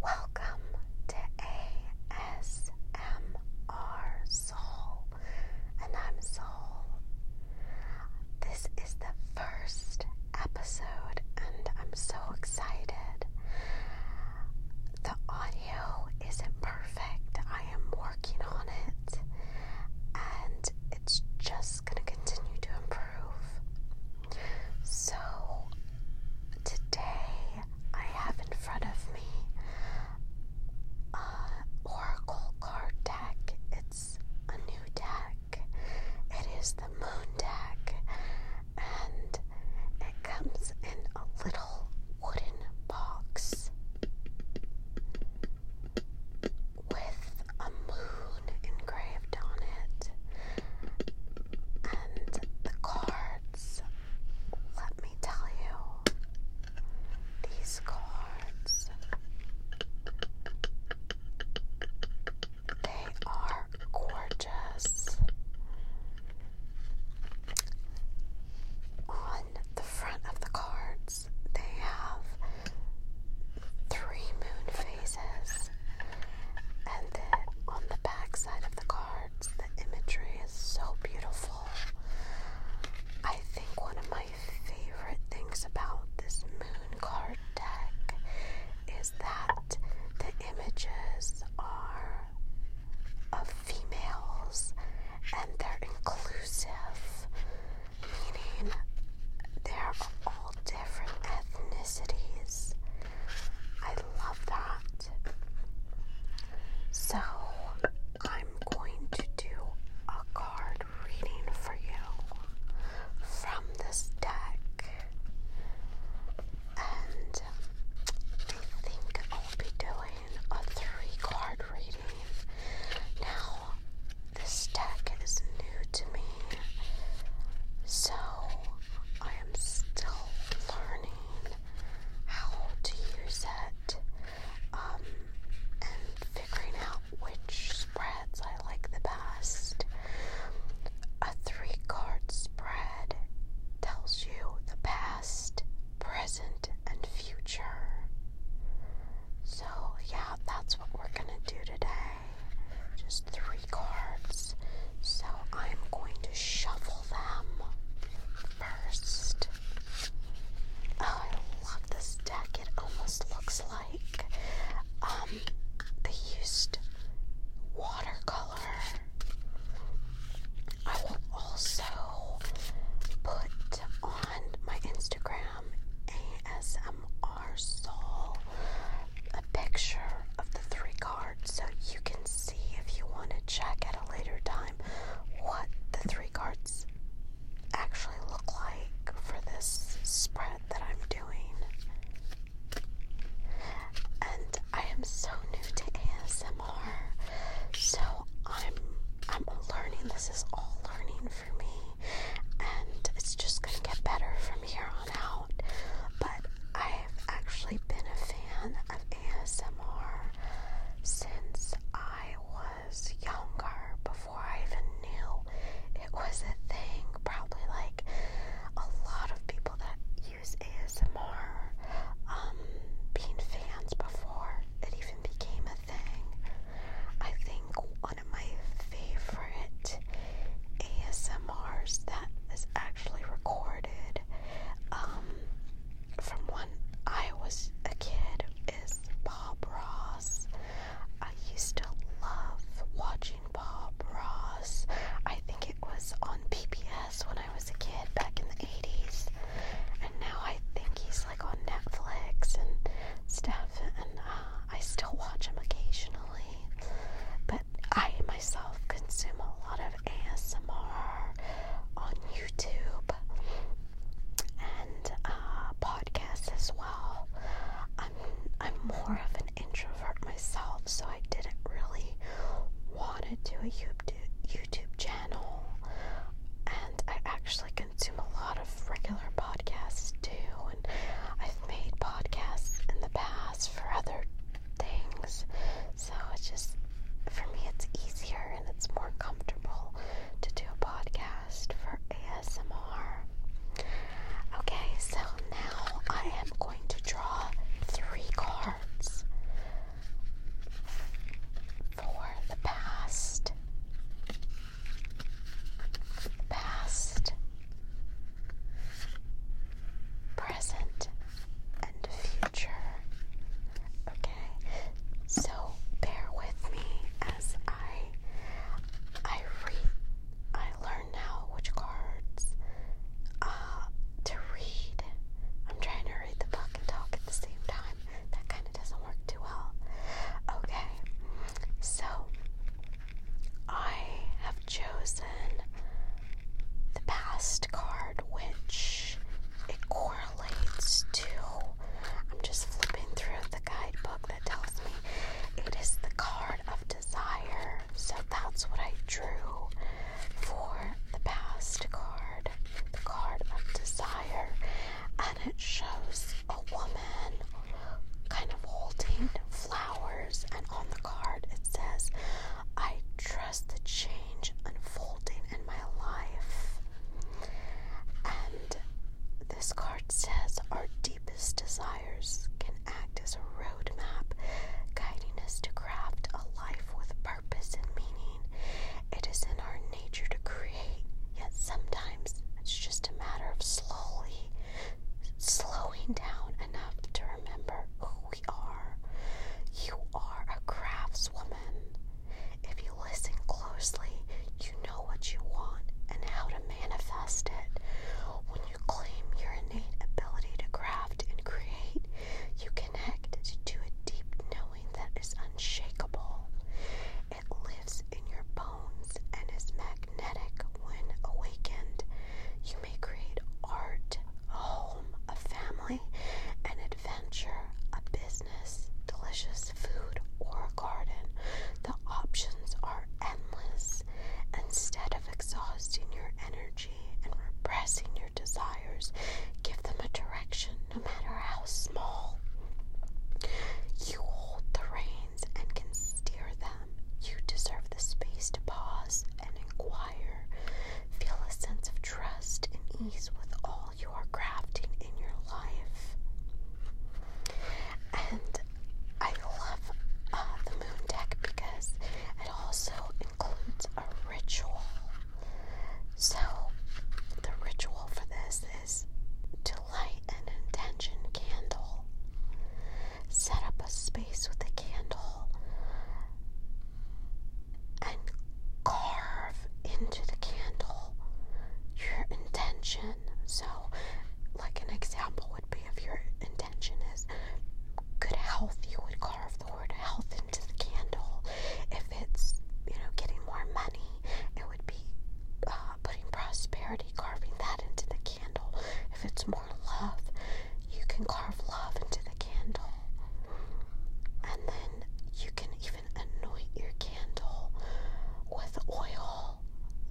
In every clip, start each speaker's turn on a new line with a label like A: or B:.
A: Welcome to ASMR Soul, and I'm Soul. This is the first episode, and I'm so excited. The audio isn't perfect, I am working on it, and it's just going to continue to improve. So today I have in front of me Oracle card deck. It's a new deck. It is the Moon deck, and it comes in a little wooden box with a moon engraved on it. And the cards, let me tell you, these cards, they are gorgeous. On the front of the cards, they have three moon phases and on the back of the cards, the imagery is so beautiful. I think one of my favorite things about this moon card deck is that the images are of females and they're inclusive, meaning they are all different ethnicities I love that. So I'm going to do a card reading for you from this deck. And I think I'll be doing a three card reading. Now, this deck is new to me, so I am still learning how to use it um, and figuring out which spreads I like the best. A three card spread tells you the past, present, and future. So, yeah, that's what we're gonna do today. Just three cards, so I'm going to shuffle them first. Oh, I love this deck. It almost looks like um they used watercolor. I will also put on my Instagram ASMR Soul a picture of the three cards so you can see if you want to check at a later time what the three cards actually look like for this spread that I'm doing. And I am so new to ASMR, so I'm I'm learning. This is all learning for me, and it's just gonna get better from here on drawn out, but I've actually been a fan of ASMR since I was younger, before I even knew it was a thing. Probably like a lot of people that use ASMR, um, being fans before it even became a thing. I think one of my favorite ASMR ASMRs that is actually recorded um, from when I was a kid is Bob Ross. I used to love watching Bob Ross. I think it was on PBS when I was a kid back in the 80s. And now I think he's like on Netflix and stuff. And uh, I still watch him occasionally. But I myself consume a lot of ASMR on YouTube and uh, podcasts as well. I'm I'm more of an introvert myself, so I didn't really want to do a YouTube channel, and I actually consume a lot of regular podcasts too. And I've made podcasts in the past for other things. So it's just, for me, it's easier and it's more comfortable to do a podcast for ASMR. Okay, so now I am going to draw three cards for the past, past, present, and future. Okay, so bear with me as I I read. I learn now which cards uh, to read. I'm trying to read the book and talk at the same time. That kind of doesn't work too well. Okay, so I have chosen the past card, which it correlates to. I'm just flipping through the guidebook that tells me it is the card of desire. So that's what I drew for the past card, the card of desire. And it shows a woman kind of holding flowers, and on the card it says, I trust the change unfolding in my life. And this card says our deepest desires can act as a roadmap, guiding us to craft a life with purpose and meaning. It is in our nature to create, yet sometimes it's just a matter of slowly slowing down enough to remember who we are. You are a craftswoman. If you listen closely, you know what you want and how to manifest it. When you claim your innate ability to craft and create, you connect to a deep knowing that is unshakable. It lives in your bones and is magnetic when awakened you may create art, a home, a family, an adventure, a business, delicious food, or a garden. The options are endless. Instead of exhausting your energy and repressing your desires, give them a direction, no matter how small. You hold the reins and can steer them. You deserve the space to pause and inquire. Feel a sense of trust and ease with all you are crafting in your life. And I love uh, the moon deck because it also includes a ritual. So, the ritual for this is to light an intention candle, set up a space with a candle, and carve into the candle your intention. So, like an example would be if your intention is good health, you would carve the word health into the candle. If it's, you know, getting more money, it would be uh, putting prosperity, carving that into the candle. If it's more love, you can carve love into the candle. And then you can even anoint your candle with oil.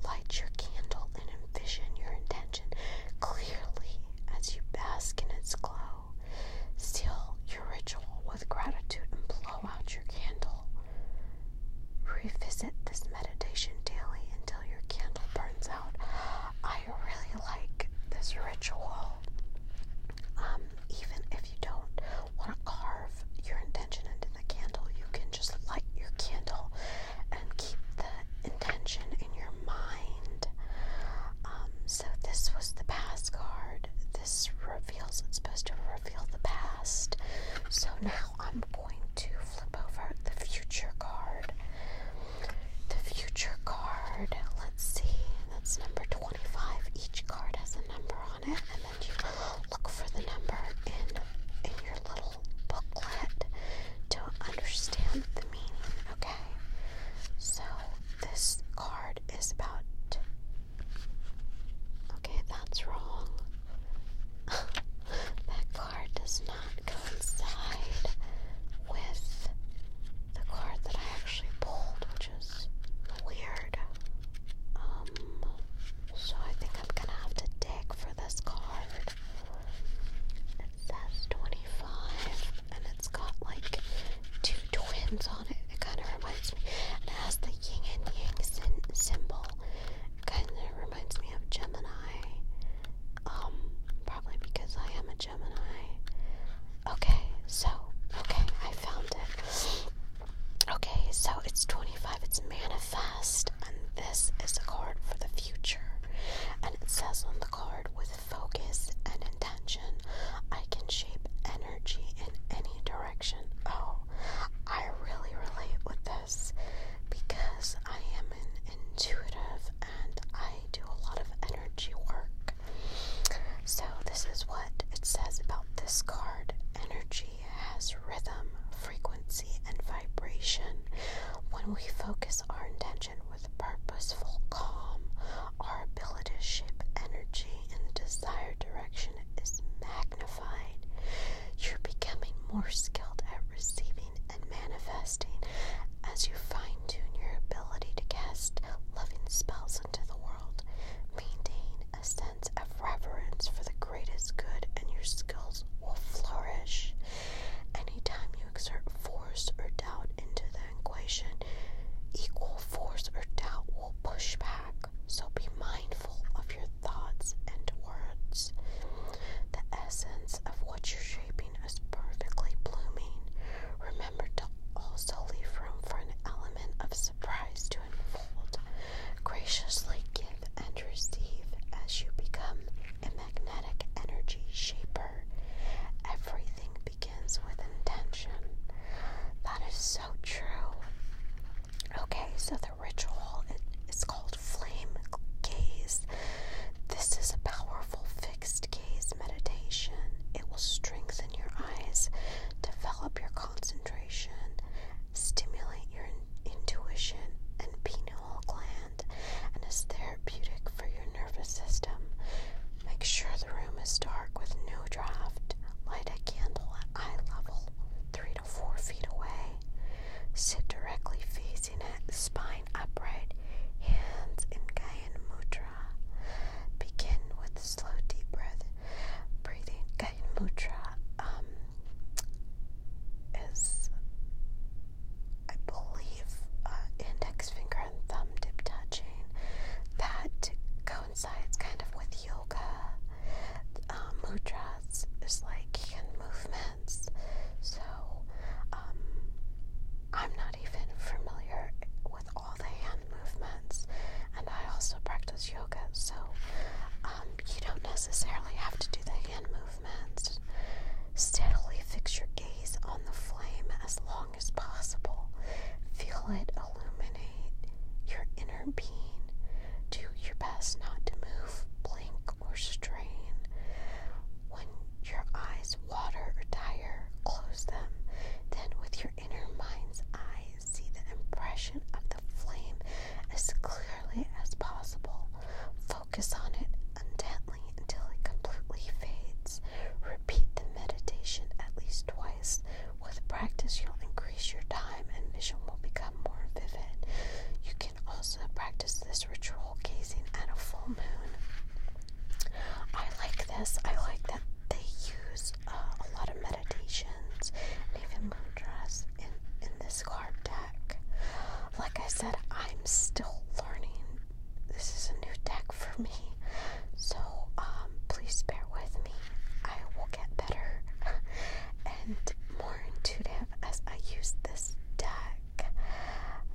A: Light your candle and envision your intention clearly as you bask in its glow. Seal your ritual with gratitude and blow out your candle. Revisit this meditation daily until your candle burns out. I really like this ritual. Um, even if you don't want to carve your intention into the candle, you can just light your candle and keep the intention in your mind. Um, so, this was the past card. This reveals, it's supposed to reveal the past. So, now I'm going to flip over the future card the future card. Let's see, that's number 25. Each card has a number on it, and then you look for the number in, in your little booklet to understand the meaning, okay? So, this card is about. Okay, that's wrong. that card does not not coincide with the card that I actually pulled, which is weird. Um, so I think I'm gonna have to dig for this card. It says 25, and it's got like two twins on it. It kind of reminds me, it has the yin and yang symbol. kind of reminds me of Gemini um, probably because I am a Gemini. Okay, so, okay, I found it. Okay, so it's 25, it's manifest, and this is a card for the future. And it says on the card, with focus and intention, I can shape energy in any direction. Oh, I really relate with this because I am an intuitive I do a lot of energy work. So, this is what it says about this card energy has rhythm, frequency, and vibration. When we focus our intention with purposeful calm, our ability to shape energy in the desired direction is magnified. You're becoming more skilled at receiving and manifesting as you fine tune your ability to cast loving spells into the world. Maintain a sense of reverence for the greatest good, and your skills will flourish. Any time you exert force or doubt into the equation, equal force or doubt will push back. So be mindful of your thoughts and words. The essence of what you're shaping keeping perfectly blooming. Remember to also leave room for an element of surprise to unfold. Graciously give and receive as you become a magnetic energy shaper. Everything begins with intention. That is so true. Okay, so the ritual it is called flame gaze. This is a powerful fixed gaze meditation, it will strengthen your eyes, develop your concentration, stimulate your intuition and pineal gland, and is therapeutic for your nervous system. Make sure the room is dark with no draft. Light a candle at eye level, three to four feet away. Sit directly facing it, spine upright, hands in Gyan Mudra. Begin with slow, deep breath. Breathing Gyan Mudra um, is, I believe, uh, index finger and thumb tip touching. That coincides kind of with yoga. Uh, mudras is like hand movements. So, um, I'm not even familiar with all the hand movements, and I also practice yoga, so um, you don't necessarily have to do the hand movements. Steadily fix your gaze on the flame as long as possible. Feel it illuminate your inner being. Do your best not to move, blink, or strain. When your eyes water or tire, close them. Then, with your inner mind's eye, see the impression of the flame as clearly as possible. Focus on it intently until it completely fades. Repeat the meditation at least twice. With practice, you'll increase your time and vision will become more vivid. You can also practice this ritual gazing at a full moon I like this. I like that they use uh, a lot of meditations and even mantras in, in this card deck. Like I said, I'm still learning. This is a new deck for me. So um, please bear with me. I will get better and more intuitive as I use this deck.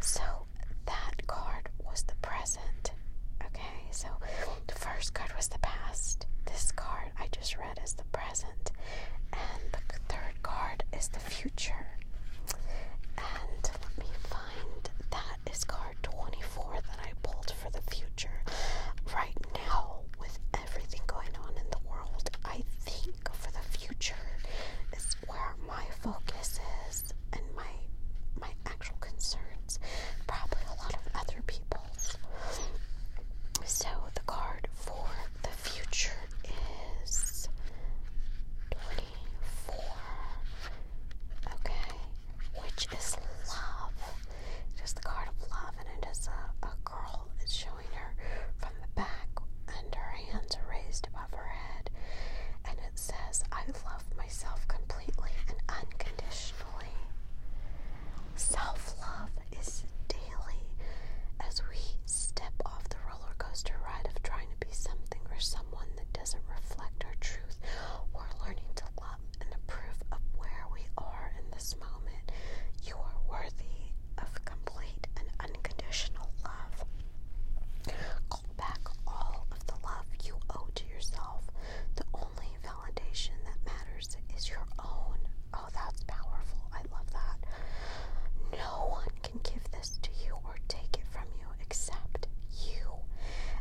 A: So that card was the present. Okay, so the first card was the past. This card I just read is the present. And the third card is the future. And let me find that is card 24 that I pulled for the future. Right now, with everything going on in the world, I think for the future is where my focus is and my my actual concerns, probably a lot of other people's. So the card for the future is 24. Okay, which is love. Just the card of love, and it is a, a girl. It's showing her from the back, and her hands are raised above her head, it says, I love myself completely and unconditionally. Self love is daily as we step off the roller coaster ride of trying to be something or someone that doesn't reflect our truth. We're learning to love and approve of where we are in this moment. You are worthy of complete and unconditional love back all of the love you owe to yourself. The only validation that matters is your own. Oh, that's powerful. I love that. No one can give this to you or take it from you except you.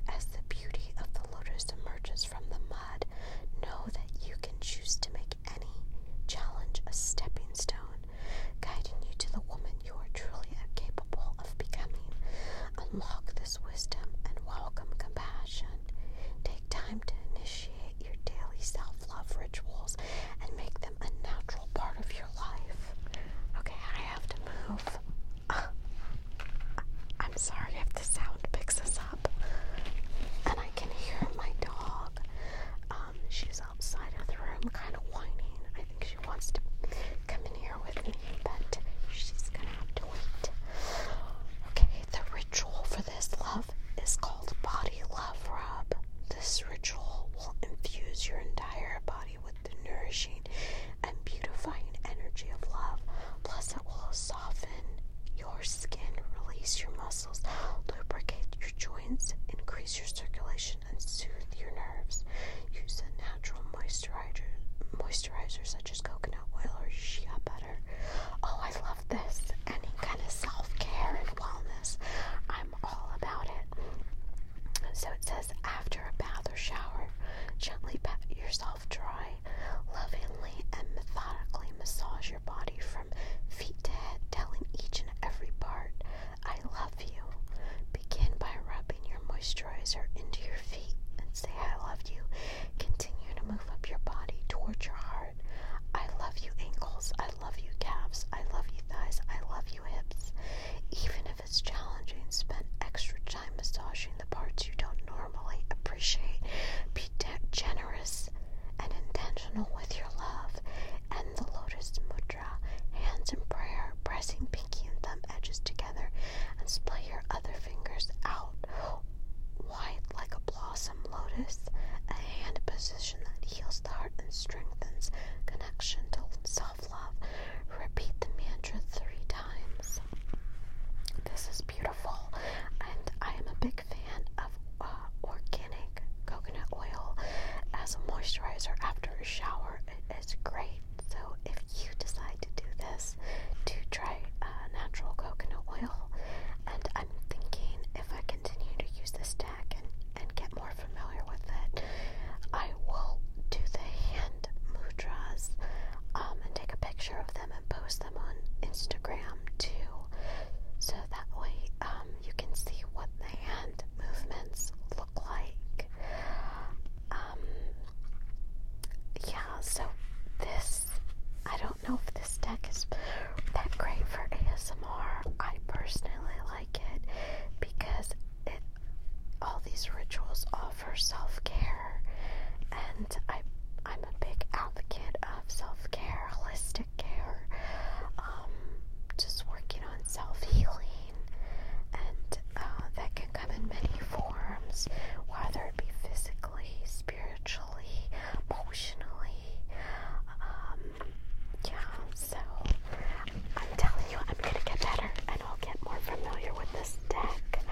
A: As the beauty of the lotus emerges from the mud, know that you can choose to make any challenge a stepping stone guiding you to the woman you are truly capable of becoming. Unlock this wisdom and welcome compassion. Take time to initiate your daily self love rituals and make them a natural part of your life. Okay, I have to move. I'm sorry if the sound picks us up. And I can hear my dog. Um, she's outside of the room, kind of whining. I think she wants to come in here with me, but she's gonna have to wait. Okay, the ritual for this love is called Body Love Rub. This ritual will infuse your entire body with the nourishing and beautifying energy of love. Plus, it will soften your skin, release your muscles, lubricate your joints, increase your circulation and soothe your nerves. Use a natural moisturizer, moisturizer such as coconut oil or shea butter. Oh, I love this. Any kind of self care and wellness. I'm all about it. So it says after a bath or shower, gently pat yourself dry, lovingly and methodically massage your body from feet to head, telling each and every part I love you. Begin by rubbing your moisturizer into your feet and say, I love you. Continue to move up your body towards your heart. I love you, ankles. I love you, calves. I love you, thighs. I love you, hips. Even if it's challenging, spend extra time massaging the parts you don't normally appreciate. Be generous and intentional with your love. And the Lotus Mudra hands in prayer, pressing pinky and thumb edges together, and splay your other fingers out wide like a blossom lotus, a hand position that heals the heart and strengthens connection to self love. Repeat the mantra three times. This is beautiful, and I am a big fan of uh, organic coconut oil as a moisturizer after a shower. It is great. So if you decide to do this, to try uh, natural coconut oil, and I'm thinking if I continue to use this deck and, and get more familiar with it, I will do the hand mudras um, and take a picture of them and post them on Instagram too. So that way um, you can see what the hand movements look like. Um, yeah so this I don't know if this deck is that great for ASMR I personally like it because it all these rituals offer self-care and I I'm a big advocate of self-care holistic care um, just working on self-healing and uh, that can come in many forms, whether it be physically, spiritually, emotionally. Um, yeah, so I'm telling you, I'm gonna get better and I'll get more familiar with this deck.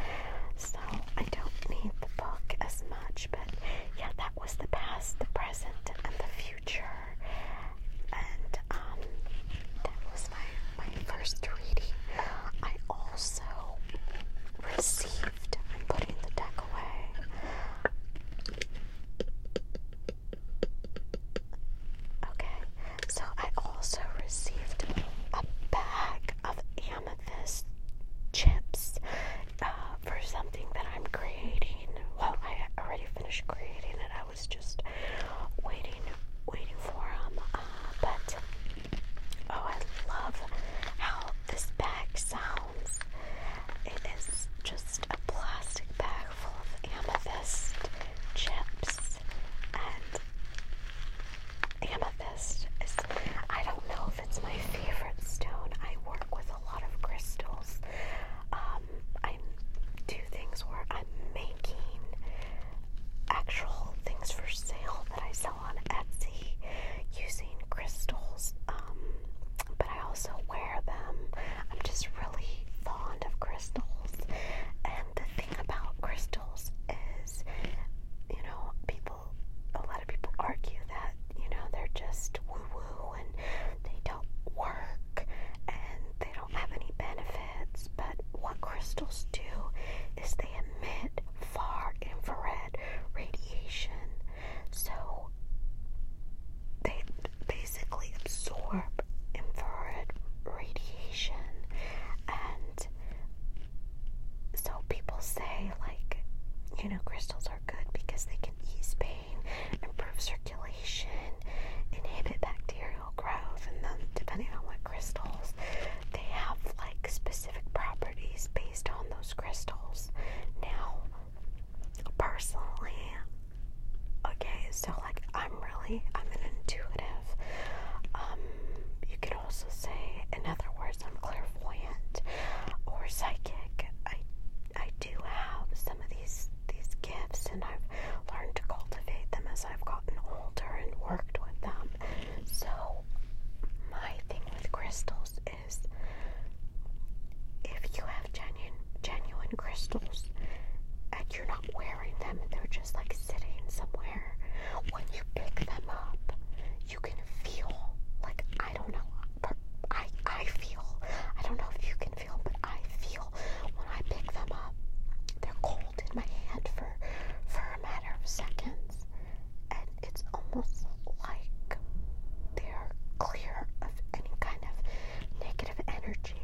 A: So I don't need the book as much, but yeah, that was the past, the present, and the future and um, that was my, my first reading. I also received, I'm putting the deck away. Okay, so I also received a bag of amethyst chips uh, for something that I'm creating. Well, I already finished creating it. I was just waiting, waiting for them. Uh, but oh, I love how this bag sounds. It is just a plastic bag full of amethyst chips and. Amethyst is, I don't know if it's my favorite stone. I work with a lot of crystals, um, I do things where I'm making actual things for sale that I sell on Etsy using crystals. Um, but I also wear them. I'm just really fond of crystals. And the thing about crystals is, you know, people, a lot of people argue that, you know, they're just woo woo and they don't work and they have any benefits, but what crystals do is they emit far infrared radiation. So they basically absorb infrared radiation and so people say like you know crystals are good because they can ease pain, improve circulation, inhibit bacteria material and then depending on what crystals, they have like specific properties based on those crystals. Now, personally, okay, so like I'm really I'm an intuitive. Um, you could also say, in other words, I'm clairvoyant or psychic. I I do have some of these these gifts, and I've learned to cultivate them as. I've gotten older and worked with them. So, my thing with crystals is if you have genuine, genuine crystals and you're not wearing them and they're just like sitting somewhere, when you pick them up, you can feel like I don't know. I, I feel, I don't know if you can feel, but I feel when I pick them up, they're cold in my hand for for a matter of seconds, and it's almost like they are clear of any kind of negative energy.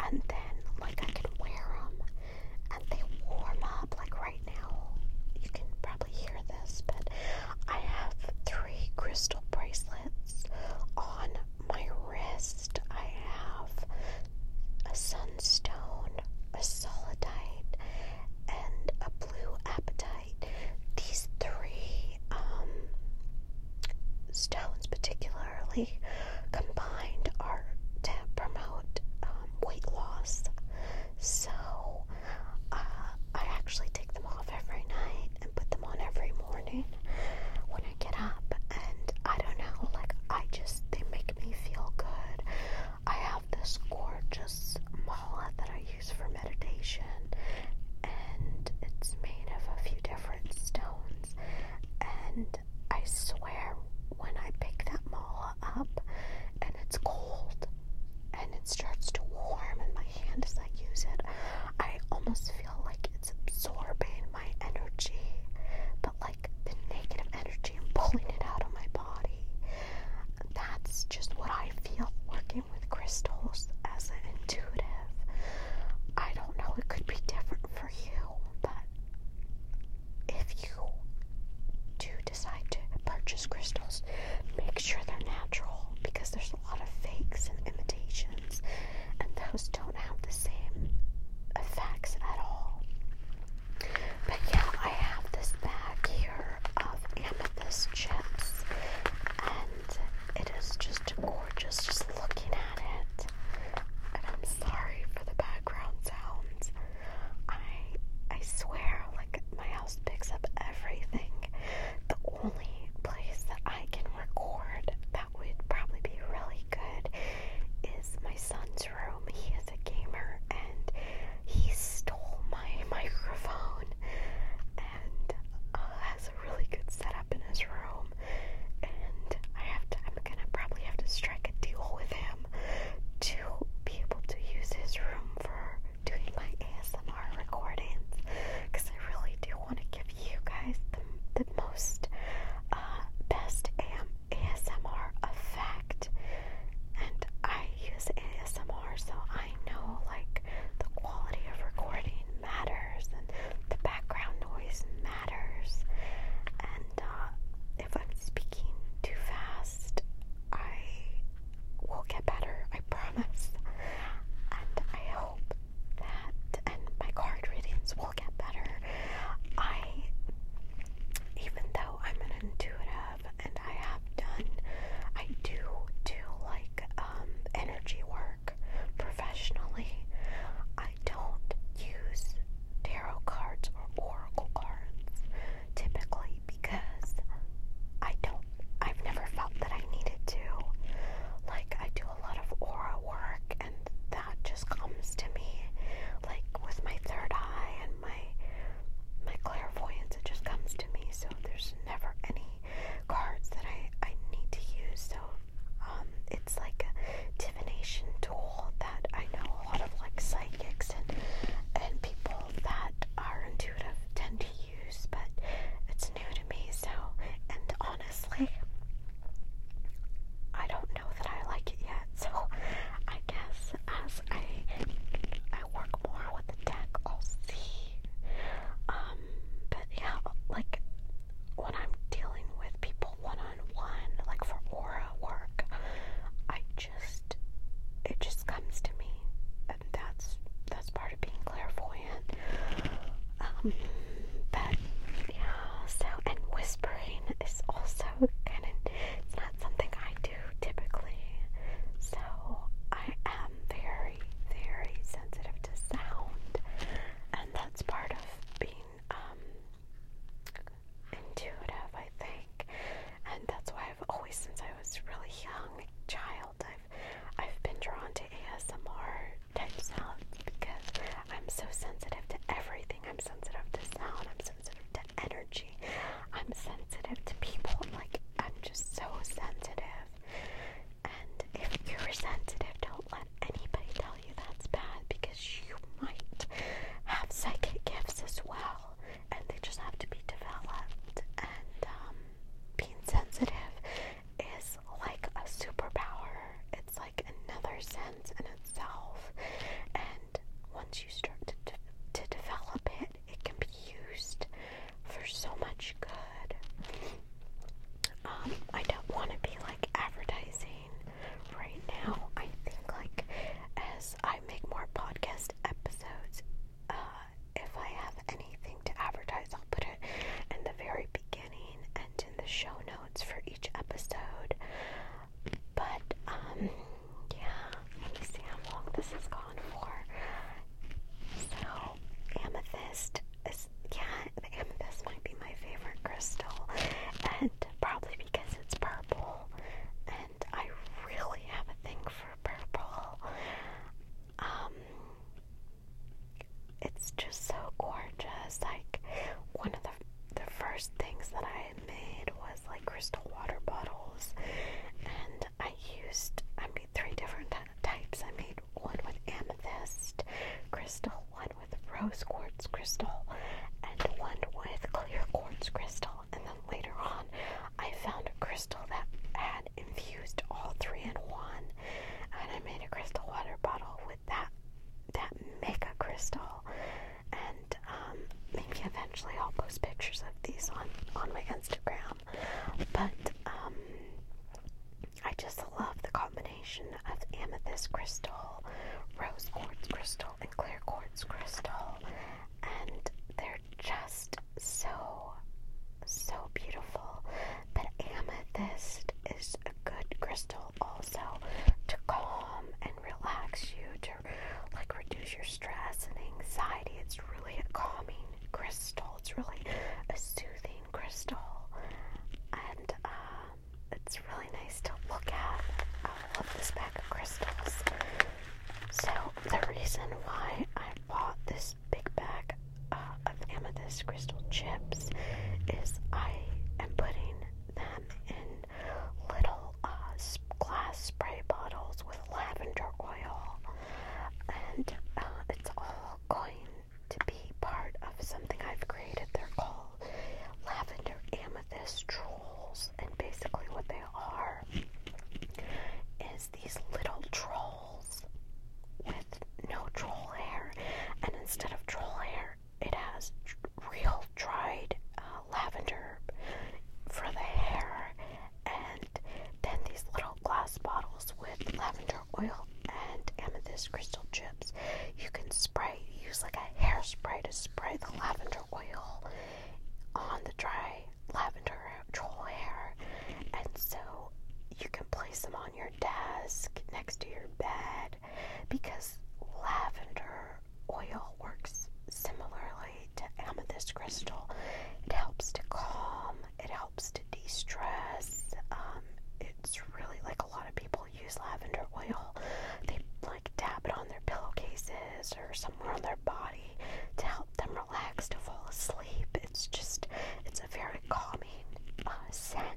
A: And then, like, I can wear them, and they warm up. Like right now, you can probably hear this, but I have three crystal bracelets on my wrist, I have a sunstone, a solidite, and a blue appetite. These three um, stones, particularly combined, are to promote um, weight loss. So uh, I actually take them off every night and put them on every morning get up, and I don't know, like, I just, they make me feel good. I have this gorgeous mala that I use for meditation, and it's made of a few different stones, and I swear, when I pick that mala up, and it's cold, and it starts to warm in my hand as I use it, I almost feel like it's absorbing my energy, but like the negative energy, I'm pulling it out of my body. That's just what I feel working with crystals as an intuitive. I don't know, it could be different for you, but if you do decide to purchase crystals, make sure they're natural because there's a lot of fakes and imitations and those don't have the same effects at all. But yeah, I have this bag here of amethyst chips, and it is just gorgeous just looking at it. And I'm sorry for the background sounds. I I swear, like my house picks up everything. The only place that I can record that that would probably be really good is my son's room. He is a gamer and he stole my microphone and uh, has a really good setup in his room. And I have to, I'm gonna probably have to strike a deal with him to be able to use his room for doing my ASMR recordings because I really do I want to give you guys the, most uh, best AM, ASMR effect. And I use ASMR, so I know like the quality of recording matters and the background noise matters. And uh, if I'm speaking too fast, I will get better, I promise. And I hope that and my card readings will get better. I, even though I'm an intuitive and I have done, I do do like um, energy work professionally. I don't use tarot cards or oracle cards typically because I don't, I've never felt that I needed to. Like, I do a lot of aura work and that just comes to me like with my third eye and my my clairvoyance it just comes to me so there's never any cards that I, I need to use so um it's like a divination tool that I know a lot of like psychics and and people that are intuitive tend to use but it's new to me so and on honestly, I don't know that I like it yet. So I guess as I I work more with the deck, I'll see. Um, but yeah, like when I'm dealing with people one on one, like for aura work, I just it just comes to me, and that's that's part of being clairvoyant. Um, but yeah, so, and whispering is also kind of, it's not something I do typically. So, I am very, very sensitive to sound. And that's part of being um, intuitive, I think. And that's why I've always, since I was really young, child, I've, I've been drawn to ASMR type sounds because I'm so sensitive to everything. I'm sensitive to sound. I'm sensitive to energy. I'm sensitive to people. Like I'm just so sensitive. And if you're sensitive, don't let anybody tell you that's bad because you might have psychic gifts as well, and they just have to be developed. And um, being sensitive is like a superpower. It's like another sense in itself. And once you start to, to develop it, it can be used for so much good. Um, I don't want to be like advertising right now. I think like as I make more podcast episodes, uh, if I have anything to advertise, I'll put it in the very beginning and in the show notes notes for each episode. But, um, yeah, let this has gone for. So, amethyst is, yeah, the amethyst might be my favorite crystal, and probably because it's purple, and I really have a thing for purple. Um, it's just so gorgeous. Like one of the the first things that I made was like crystal water bottles, and I used I made three different types. I made one with amethyst crystal, one with rose quartz crystal, and one with clear quartz crystal. And then later on, I found a crystal that had infused all three in one, and I made a crystal water bottle with that that make a crystal. And um, maybe eventually I'll post pictures of these on, on my Instagram. But um, I just love the combination of amethyst crystal, rose quartz crystal, and clear quartz crystal. And they're just so, so beautiful. But amethyst is a good crystal also to calm and relax you, to like reduce your stress and anxiety. It's really a calming crystal, it's really a soothing crystal, and uh, it's really nice to look at. I love this bag of crystals. So, the reason why I bought this big bag uh, amethyst crystal chips is I am putting them in little uh, glass spray bottles with lavender oil, and uh, it's all going to be part of something I've created. They're called lavender amethyst trolls, and basically, what they are is these little trolls with no troll hair, and instead of troll hair, it has real dried uh, lavender for the hair, and then these little glass bottles with lavender oil and amethyst crystal chips. You can spray, use like a hairspray to spray the lavender oil on the dry lavender troll hair, and so you can place them on your desk next to your bed because lavender oil works similarly to amethyst crystal. It helps to calm, it helps to de stress. Um, it's really like a lot of people use lavender oil. They like dab it on their pillowcases or somewhere on their body to help them relax to fall asleep. It's just, it's a very calming uh, scent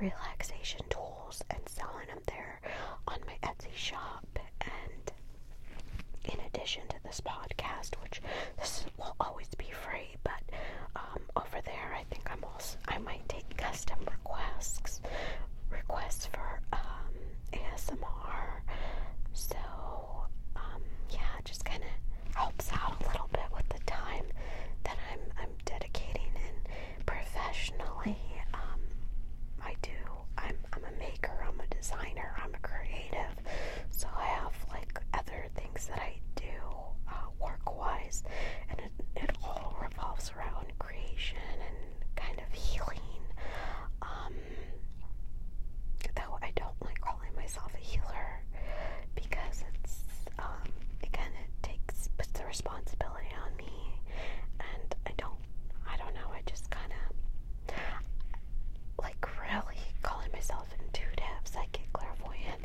A: relaxation tools and selling them there on my Etsy shop. And in addition to this podcast, which this will always be free, but um, over there, I think I'm also I might take custom requests requests for um, ASMR. So um, yeah, it just kind of helps out a little bit with the time that I'm I'm dedicating and professionally. Um, I do. I'm I'm a maker. I'm a designer. I'm a creative. So I have like other things that I do uh, work wise, and it, it all revolves around creation and kind of healing. Um, though I don't like calling myself a healer, because it's um it kind takes puts the responsibility on me, and I don't I don't know I just kind of like really calling myself intuitive, psychic, clairvoyant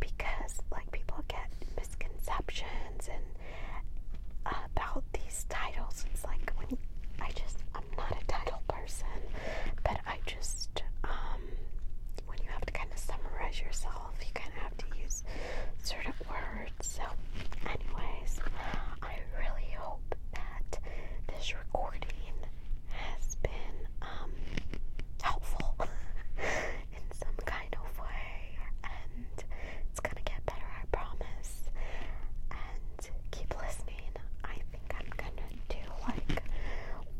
A: because like people get misconceptions and uh, about these titles. It's like when you, I just I'm not a title person, but I just um when you have to kind of summarize yourself yourself. You kind of have to use certain words. So, anyways, I really hope that this recording has been um, helpful in some kind of way, and it's gonna get better, I promise. And keep listening. I think I'm gonna do like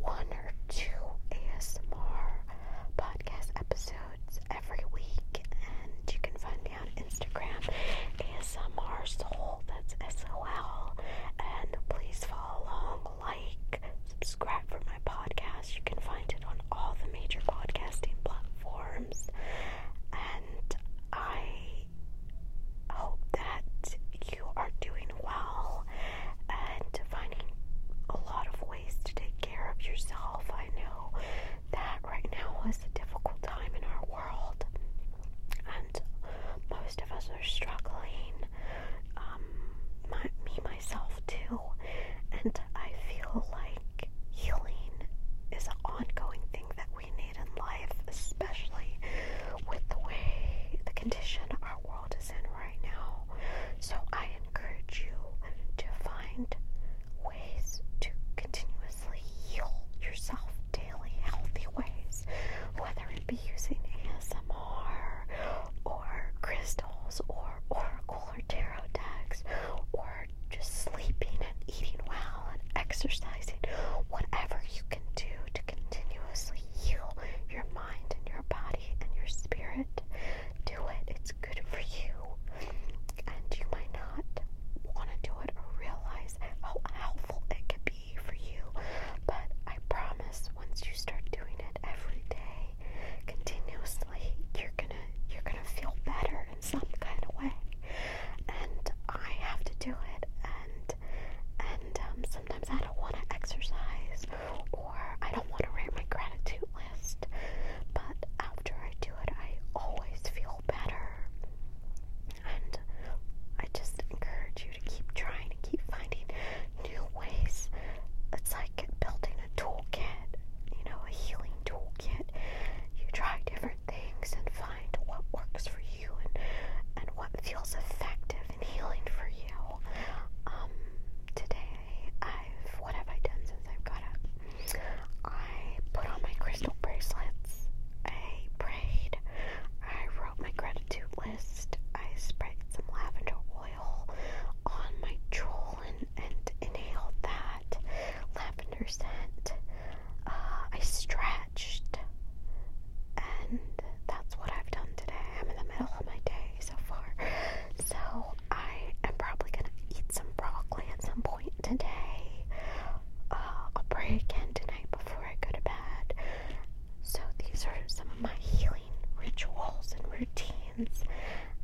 A: one or two ASMR podcast episodes every week, and you can find me on Instagram, ASMR Soul. That's S O L. And please follow along, like, subscribe for my podcast. You can find it on all the major podcasting platforms, and I hope that you are doing well and finding a lot of ways to take care of yourself. I know that right now is a difficult time in our world, and most of us are struggling. Um, me, myself, too, and I feel like healing is an ongoing thing that we need in life, especially with the way the condition are world is in right now. So I encourage you to find ways to continuously heal yourself daily, healthy ways, whether it be using ASMR or crystals or oracle or tarot decks or just sleeping and eating well and exercising, whatever you can do to continuously heal your mind mind and your body and your spirit. Do it, it's good for you. And you might not want to do it or realize how helpful it can be for you, but I promise once you start doing it every day, continuously, you're gonna you're gonna feel better in some kind of way. And I have to do it, and and um, sometimes I don't want to exercise, or I don't want to write my gratitude list, but after I do it, I always feel better. And I just encourage you to keep trying and keep finding new ways. It's like building a toolkit, you know, a healing toolkit. You try different things and find what works for you and and what feels effective and healing for you. Um, today I've what have I done since I've got up? I put on my crystal bracelets. I prayed. I wrote my gratitude list. I sprayed some lavender oil on my jewel and, inhaled that lavender scent. Uh, I stretched, and that's what I've done today. I'm in the middle of my days so far. So I am probably gonna eat some broccoli at some point today. Uh, I'll pray again tonight before I go to bed. So these are some of my healing rituals and routines,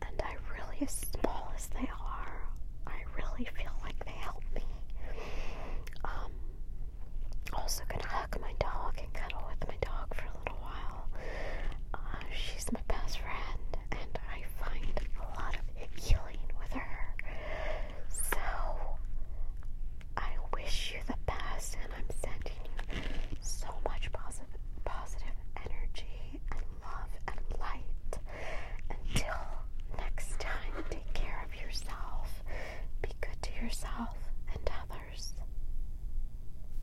A: and I really, as small as they are, I really feel like they help me. Um, also gonna hug my dog and cuddle with my dog for a a while. Uh, she's my best friend, and I find a lot of healing with her. So, I wish you the best, and I'm sending you so much positive, positive energy and love and light. Until next time, take care of yourself, be good to yourself and others.